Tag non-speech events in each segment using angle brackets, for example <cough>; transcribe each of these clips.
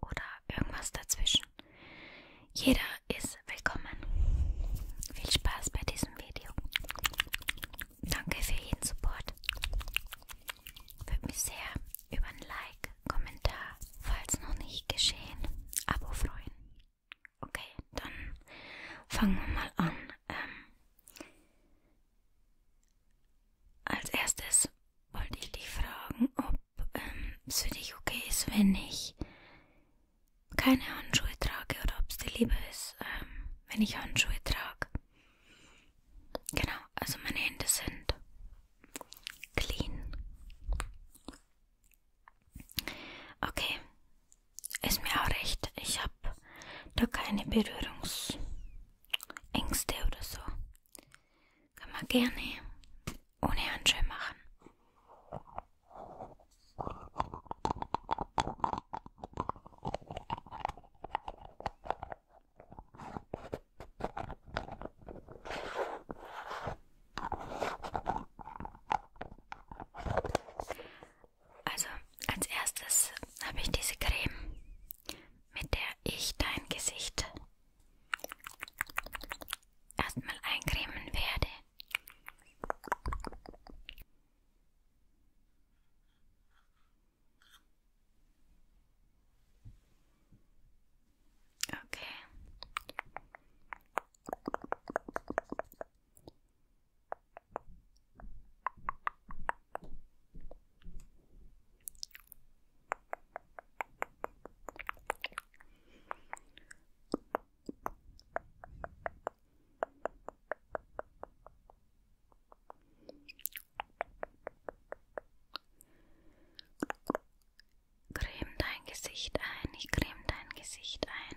oder irgendwas dazwischen. Jeder ist willkommen. Viel Spaß bei diesem Video. Danke für jeden Support. Würde mich sehr über ein Like, Kommentar, falls noch nicht geschehen, Abo freuen. Okay, dann fangen wir mal an. Ähm, als erstes wollte ich dich fragen, ob ähm, es für dich okay ist, wenn ich keine Handschuhe trage oder ob es dir lieber ist, ähm, wenn ich Handschuhe trage. Genau, also meine Hände sind clean. Okay, ist mir auch recht. Ich habe da keine Berührungs Ängste oder so. Kann man gerne ohne Handschuhe machen. Also als erstes habe ich diese Creme mit der ich dein Gesicht erstmal eincremen werde. Okay. Creme dein Gesicht ein, ich creme dein Gesicht ein.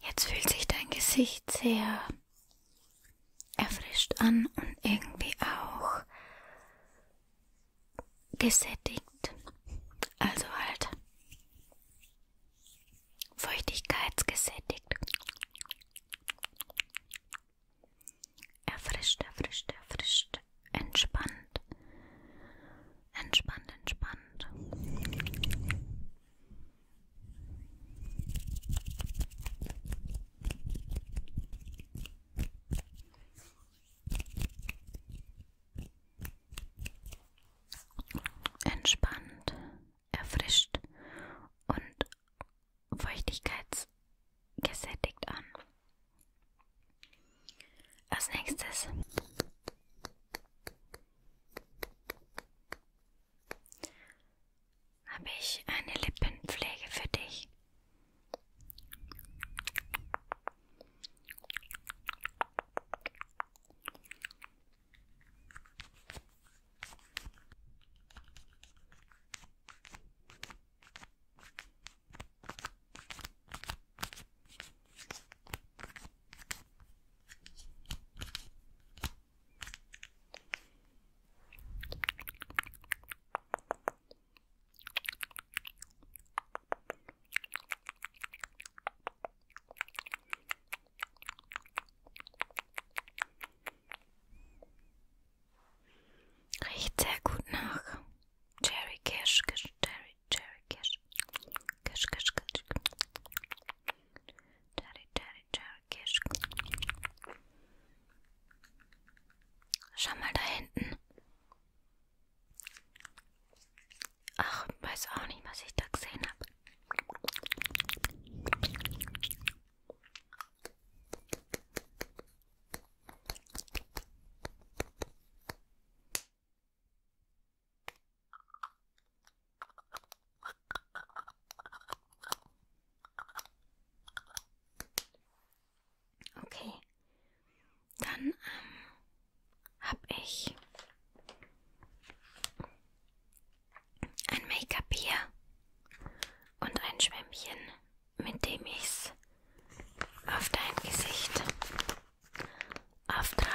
Jetzt fühlt sich dein Gesicht sehr erfrischt an und irgendwie auch gesättigt. Also halt feuchtigkeitsgesättigt. Erfrischt, erfrischt, erfrischt, entspannt. Entspannt, entspannt. Entspannt, erfrischt und feuchtigkeitsgesättigt an. Als nächstes habe ich eine Lippenpflege für dich? Riecht sehr gut nach Cherry Cash, Cherry, Cherry Cash. Kisch, kisch, kisch. Daddy, daddy, daddy, kisch. Schau mal da hinten. Ach, weiß auch nicht, was ich da gesehen habe. Okay. Dann ähm, habe ich ein Make-up hier und ein Schwämmchen, mit dem ich es auf dein Gesicht auftrage.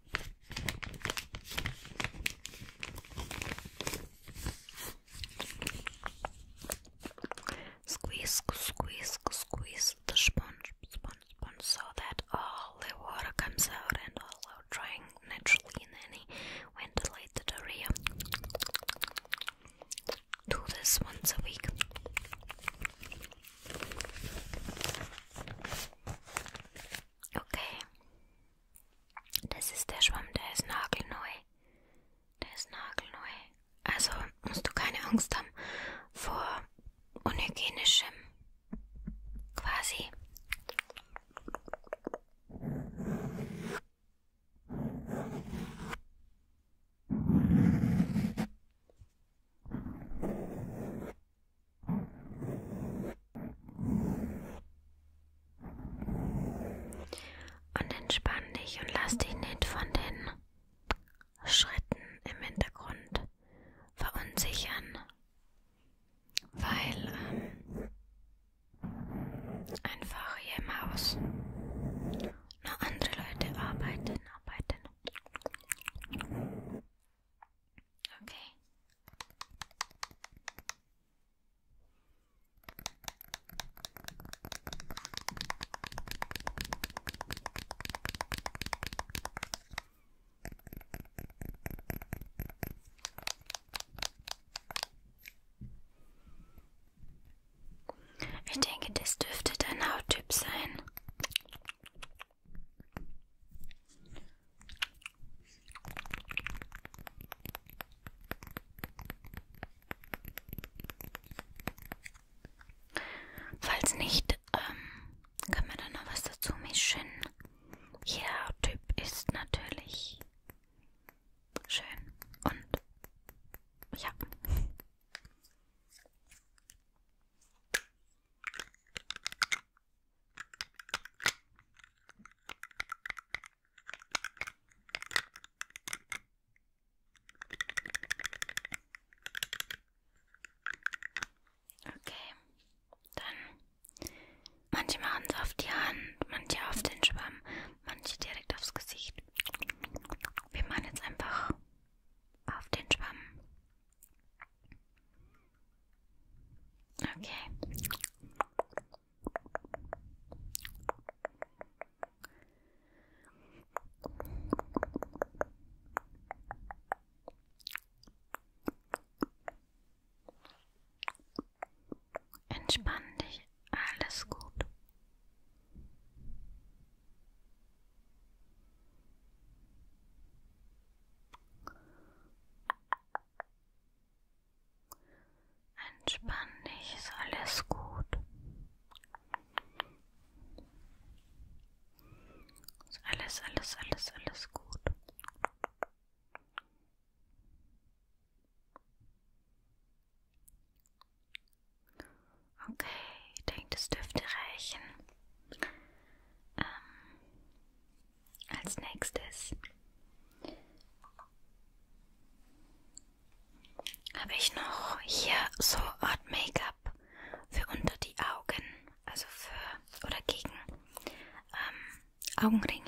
Squeeze, squeeze, squeeze the sponge, sponge, sponge so that all the water comes out and all are drying naturally in any ventilated area. Do this once a week. Okay. Das ist der Schwamm, der ist nagelneu. Der ist nagelneu. Also musst du keine Angst haben vor unhygienischem. Quasi. Und entspann dich und lass dich nicht von den Schritten im Hintergrund verunsichern, weil ähm, einfach hier im Haus noch andere Leute arbeiten, arbeiten. Okay. Ich denke, das dürfte dein Hauttyp sein. Falls nicht, ähm, können wir dann noch was dazu mischen. Jeder ja, Typ ist natürlich schön und ja. Okay, dann manche machen es auf die Hand, manche auf den Schwamm, manche direkt aufs Gesicht. Wir machen jetzt einfach auf den Schwamm. Okay. Entspann dich, alles gut. Entspann dich, ist alles gut. Ist alles, alles, alles, alles gut. Okay, ich denke, das dürfte reichen. Ähm, als nächstes habe ich noch hier so Art Make-up für unter die Augen, also für oder gegen ähm, Augenringe.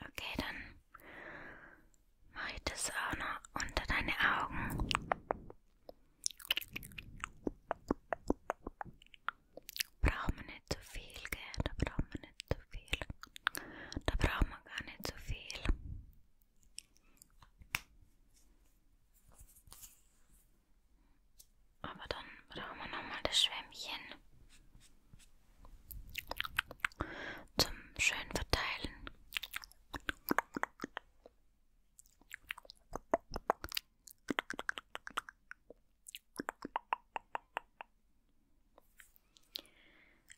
Okay, dann mache ich das auch noch unter deine Augen. Braucht man nicht zu so viel, gell? Da braucht man nicht zu so viel. Da braucht man gar nicht zu so viel. Aber dann brauchen wir nochmal das Schwämmchen zum schön verteilen.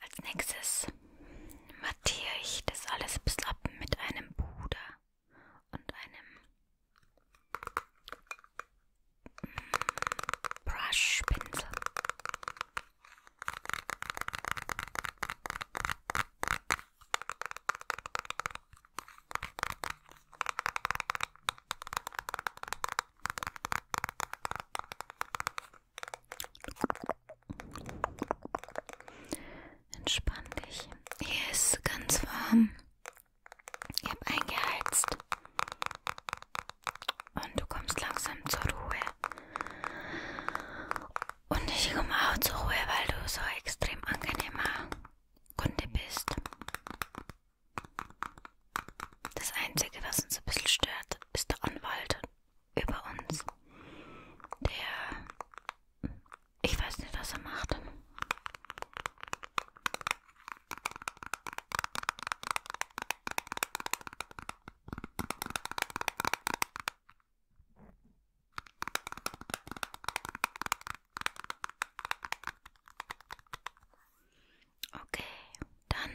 Als nächstes mattiere ich das alles bis ab mit einem Puder und einem mm, Brushpinsel. Entspann dich. Hier ist ganz warm. Ich habe eingeheizt. Und du kommst langsam zur Ruhe. Und ich komme auch zur Ruhe, weil du so extrem angenehmer Kunde bist. Das Einzige, was uns ein bisschen stört, ist der Anwalt über uns. Der. Ich weiß nicht, was er macht. Okay, dann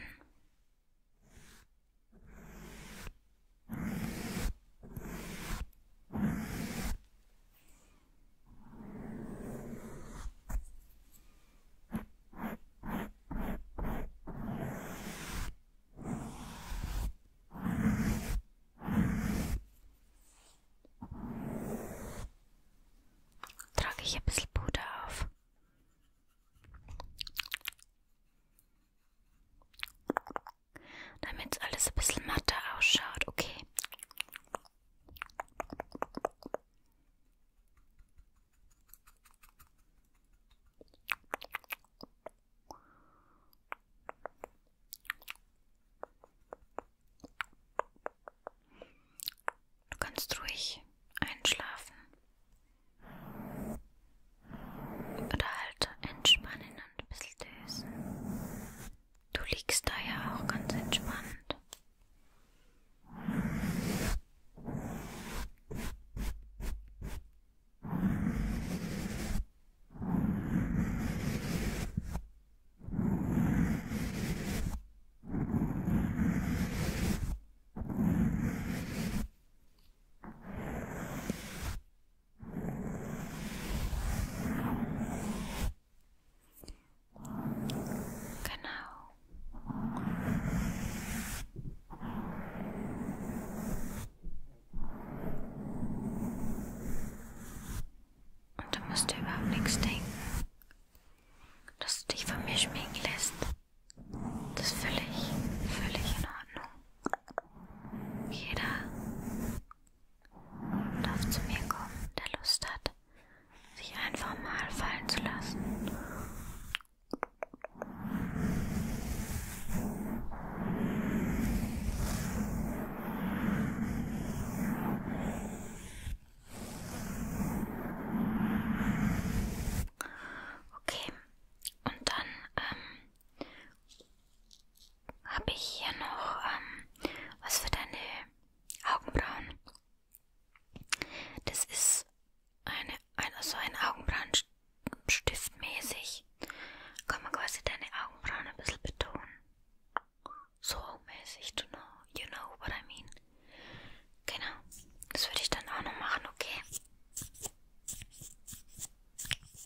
Trage ich ein bisschen Puder auf damit alles ein bisschen matter ausschaut, okay? Du kannst ruhig einschlafen. Oder halt entspannen und ein bisschen dösen. Du liegst da ja auch ganz entspannt. Genau. Und du musst dir überhaupt nichts denken, dass du dich von mir schminken lässt. Das ist völlig, völlig in Ordnung. Jeder darf zu mir kommen, der Lust hat, sich einfach mal fallen zu lassen. Okay, und dann ähm, habe ich hier noch ähm, was für deine Augenbrauen. Das ist eine, also ein Augenbrauenstift mäßig. Kann man quasi deine Augenbrauen ein bisschen betonen. So mäßig, you know, you know what I mean. Genau, das würde ich dann auch noch machen, okay?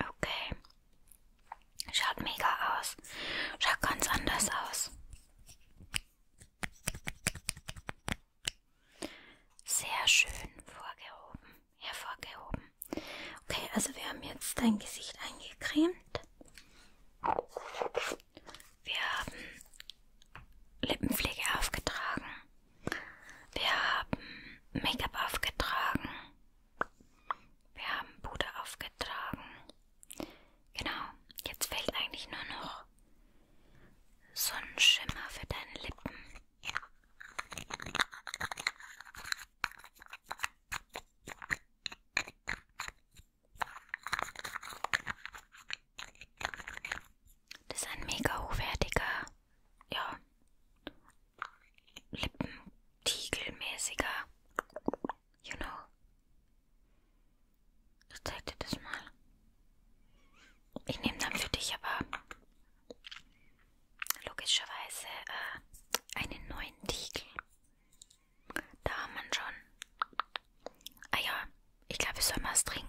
Okay. Schaut mega aus. Schaut ganz anders aus. Sehr schön vorgehoben. Hervorgehoben. Okay, also wir haben jetzt dein Gesicht eingecremt. Wir haben Lippenpflege aufgetragen. Wir haben Make-up aufgetragen. Wir haben Bude aufgetragen. Genau, jetzt fehlt eigentlich nur noch so ein Schimmer für deine Lippen. Das ist ein mega hochwertiger ja, Lippentiegelmäßiger. You know. Ich zeig dir das mal. Ich nehme dann für dich aber logischerweise äh, einen neuen Tiegel. Da haben wir schon. Ah ja, ich glaube, ich soll mal was trinken.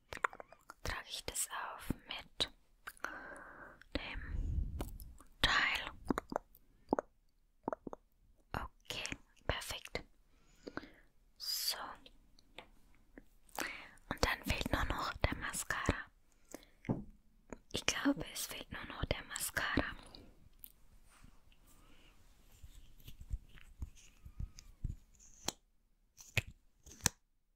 trage ich das auf mit dem Teil. Okay, perfekt. So. Und dann fehlt nur noch der Mascara. Ich glaube, es fehlt nur noch der Mascara.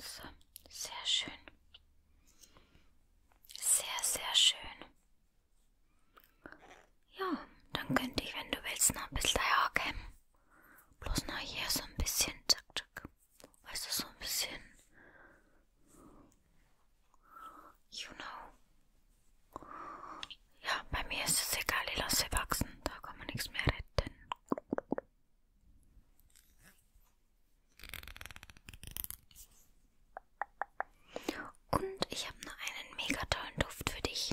So, sehr schön. Sehr, sehr schön. Ja, dann könnte ich, wenn du willst, noch ein bisschen herkommen. Bloß noch hier so ein bisschen. Zack, zack. Weißt du, so ein bisschen. You know. Ja, bei mir ist es egal, ich lasse wachsen. Da kann man nichts mehr retten. Und ich habe noch einen mega tollen Duft für dich.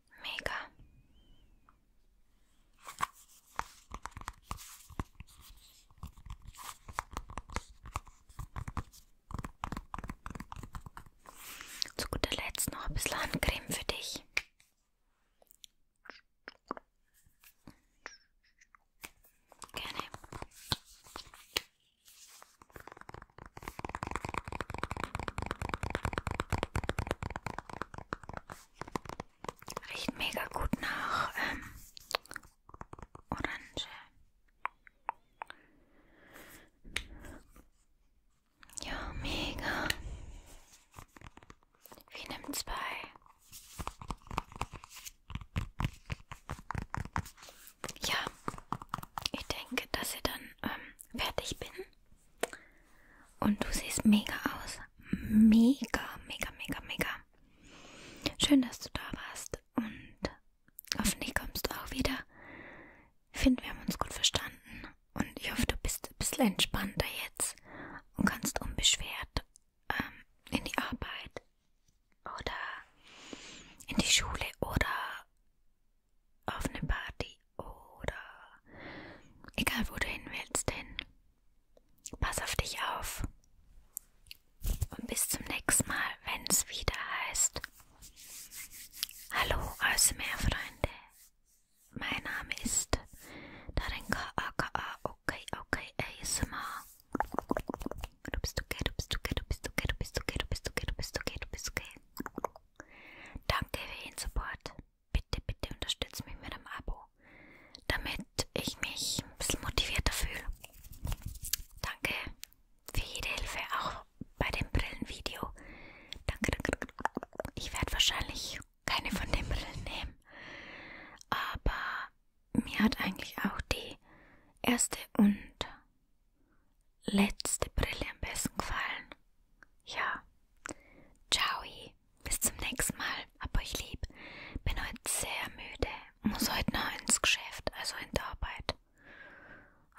Mega. Zu guter Letzt noch ein bisschen Handcreme für dich. Gerne. Riecht mega gut nach ähm, Orange. Ja, mega. Wie nimmt's bei? Ja, ich denke, dass ich dann ähm, fertig bin. Und du siehst mega aus. Mega, mega, mega, mega. Schön, dass du da warst. Und hoffentlich kommst du auch wieder. Ich finde, wir haben uns gut verstanden. Und ich hoffe, du bist ein bisschen entspannter jetzt und kannst unbeschwert ähm, in die Arbeit oder in die Schule oder auf eine Party oder egal wo du hin willst, denn pass auf dich auf. Und bis zum nächsten Mal, wenn es wieder heißt. Hallo, also mehr Freunde. Mein Name ist Darinka aka okay okay ASMR. Du bist okay, du bist okay, du bist okay, du bist okay, du bist okay, du bist okay, du bist okay. Danke für den Support bitte, bitte unterstützt mich mit einem Abo, damit ich mich ein bisschen motivierter fühle. Danke für jede Hilfe, auch bei dem Brillenvideo. Danke, danke. Ich werde wahrscheinlich keine von den Brillen nehmen, aber mir hat eigentlich auch die erste und letzte Brille am besten gefallen. Ja. Ciao. Bye. Bis zum nächsten Mal. Hab euch lieb. Bin heute sehr müde. Muss heute noch ins Geschäft, also in die Arbeit.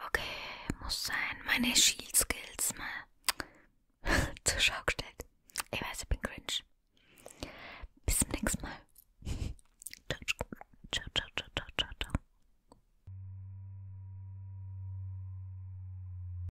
Okay, muss sein. Meine Shield Skills mal <laughs> zur Schau gestellt. Ich weiß, ich bin cringe. Bis zum nächsten Mal. Ciao, ciao, ciao, ciao, ciao, ciao.